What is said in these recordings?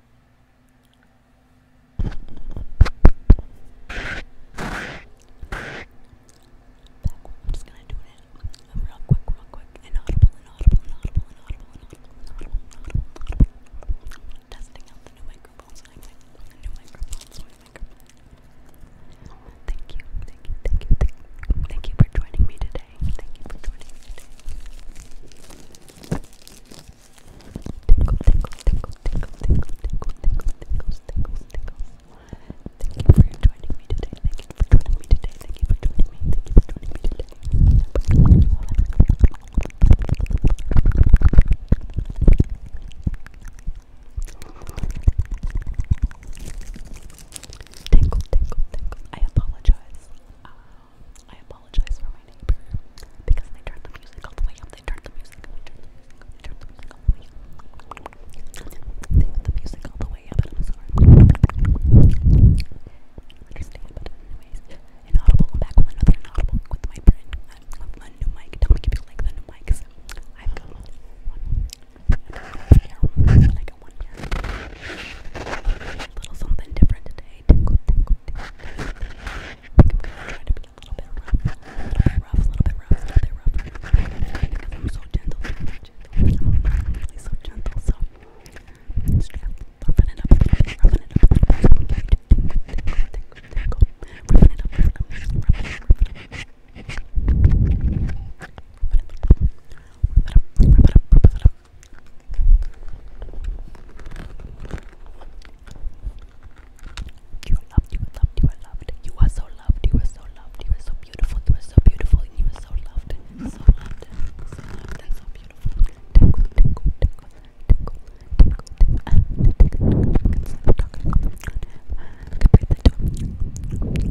just gonna do it real quick, real quick. Inaudible, inaudible, inaudible, inaudible, inaudible, inaudible, inaudible, inaudible. Testing out the new microphones. I like the new microphones, new microphones. Thank you, thank you, thank you, thank you. Thank you for joining me today. Thank you for joining me today. Tinkle, tinkle, tinkle, tinkle, tinkle, tinkle, tinkle, tinkles, tinkles, tinkles. Thank you for joining me today. Thank you for joining me today. Thank you for joining me. Thank you for joining me today. Tinkle, tinkle, tinkle. I apologize. I apologize for my neighbor because they turned the music all the way up. They turned the music They turned the music all the way up. I'm sorry. Understand, but anyways, inaudible. back with another inaudible with my brand, uh, new mic. Tell me if you like the new mics. i got one. And I got I got one here. A little something different today tingle, tingle, tingle. I think I'm gonna try to be a little bit rough, a little bit rough, a little bit rough, a little bit rough. Because I'm so gentle, I'm so gentle. I'm really so gentle, so just yeah, roughen it up, roughen it up, roughen it up. Okay, tingle, tingle, tingle, tingle. Roughen it up, roughen it up, roughen it up, roughen it up. Rub it up, rub it up, rub it up, you loved, you loved, you loved. You are so loved, you are so loved, you are so beautiful, you are so beautiful, and you are so loved. So loved, so loved, so beautiful. Tickle, tickle, tickle, tickle, tickle, tickle, and tickle, tickle, tickle, tickle, tickle,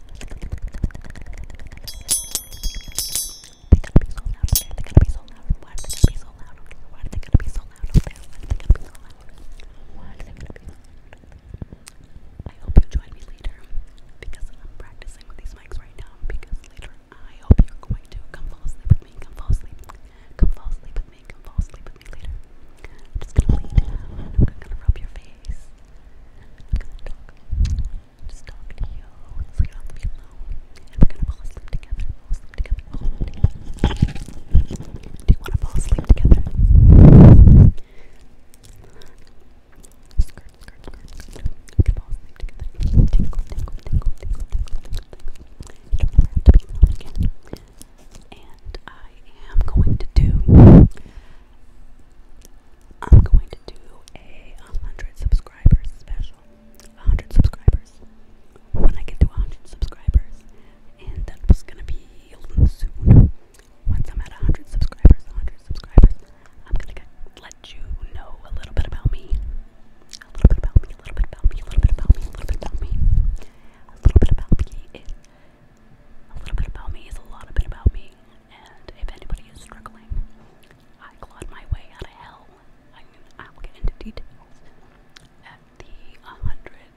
I hope you join me later because I'm practicing with these mics right now. Because later, I hope you're going to come fall asleep with me. Come fall asleep. Come fall asleep with me. Come fall asleep with me later. I'm just gonna lean down I'm gonna rub your face face. Just talk to you. So you don't alone. And we're gonna fall asleep together. Do you wanna fall asleep together? Skirt, skirt, skirt, skirt. We fall asleep together. Tingle, tingle, tingle, tingle, tingle, don't ever have again. And I am going to do I'm going to do a 100 subscribers special. 100 subscribers. When I get to 100 subscribers, and that was gonna be soon. Once I'm at 100 subscribers, 100 subscribers, I'm gonna let you know a little bit about me. A little bit about me, a little bit about me, a little bit about me, a little bit about me. A little bit about me is a little bit about me is a lot of bit about me, and if anybody is struggling, I clawed my way out of hell. I am I'll get into details at the 100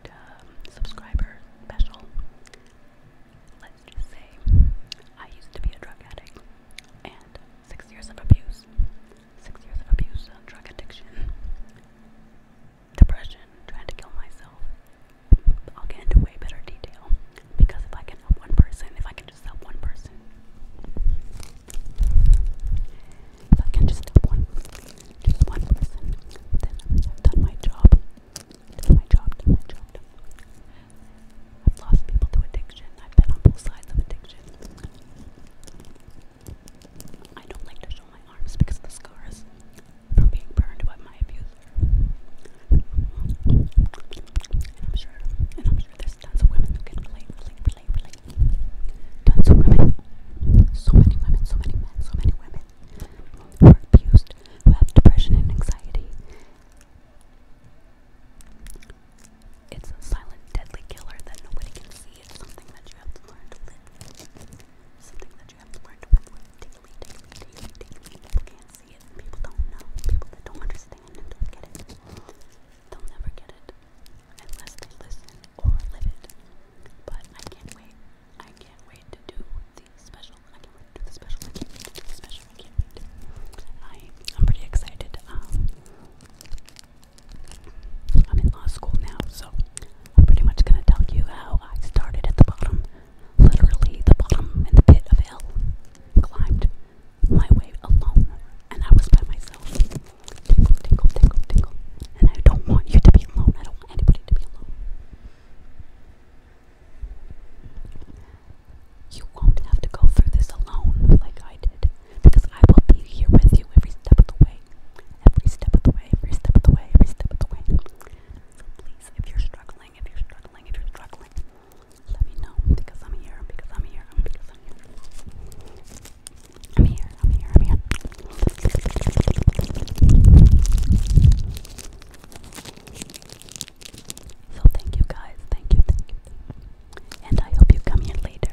um, subscriber special. Let's just say I used to be a drug addict and six years of abuse, six years of abuse, of uh, drug addiction depression, trying to kill myself. I'll get into way better detail because if I can help one person, if I can just help one person, if I can just help one, just one person, then I've done my job. Done my job. Done my job. Done. I've lost people to addiction. I've been on both sides of addiction. I don't like to show my arms because of the scars from being burned by my abuser. And I'm sure, and I'm sure there's tons of women who can relate, relate, relate, relate. Tons of women, so many women, so many men, so many women who are abused, who have depression and anxiety. It's a silent, deadly killer that nobody can see. It's something that you have to learn Something that People can't see it, people don't know, people don't understand and don't get it. They'll never get it unless they listen or live it. But I can't wait. I can't wait to do the special. I can't wait to do the special. I am pretty excited. Um, I'm in law school now, so I'm pretty much going to tell you how I started at the bottom, literally the bottom in the pit of hell, climbed my way alone, and I was by myself. Tingle, tingle, tingle, tingle. And I don't want you to be alone. I don't want anybody to be alone. You won't have to go through this alone like I did because I will be here with you every step of the way every step of the way, every step of the way, every step of the way. please, if you're struggling, if you're struggling, if you're struggling, let me know because I'm here, because I'm here, because I'm here. I'm here, I'm here, I'm here. So thank you guys, thank you, thank you. And I hope you come here later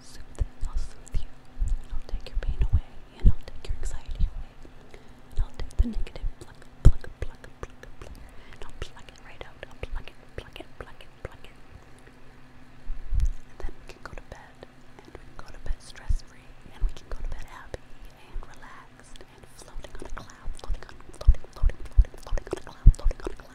soothe and I'll soothe you, and I'll take your pain away, and I'll take your anxiety away, and I'll take the negative pluck, pluck, pluck, pluck, pluck, and I'll pluck it right out, I'll pluck it, pluck it, pluck it, pluck it. And then we can go to bed, and we can go to bed stress-free, and we can go to bed happy, and relaxed, and floating on a cloud, floating on, floating, floating, floating, floating on a cloud, floating on a cloud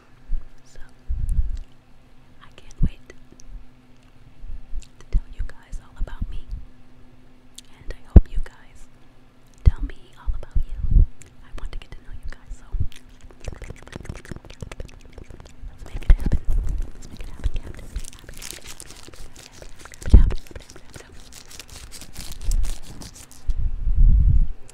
So, I can't wait to tell you guys all about me. And I hope you guys tell me all about you. I want to get to know you guys, so make it happen. make it happen, Captain. Happen, happen, happen, happen, happen, happen, happen, happen, happen, happen.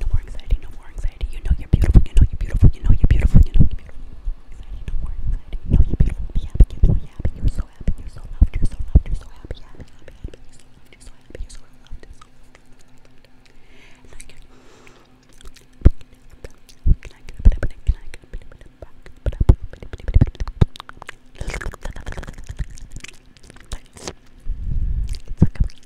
No more anxiety, no more anxiety. You know you're beautiful, you know you're beautiful, you know you're beautiful, you know you're beautiful. No more anxiety, no more anxiety. You are beautiful. You're so happy, you're so loved, you're so loved, you're so happy, You're so loved,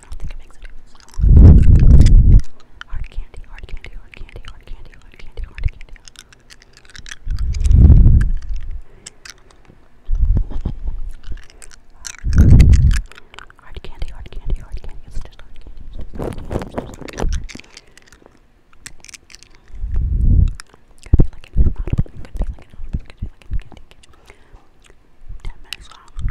I don't think it makes a difference. Hard candy, hard candy, hard candy, hard candy, hard candy, hard candy. Hard candy, hard candy, hard candy. just hard candy. Ten minutes long.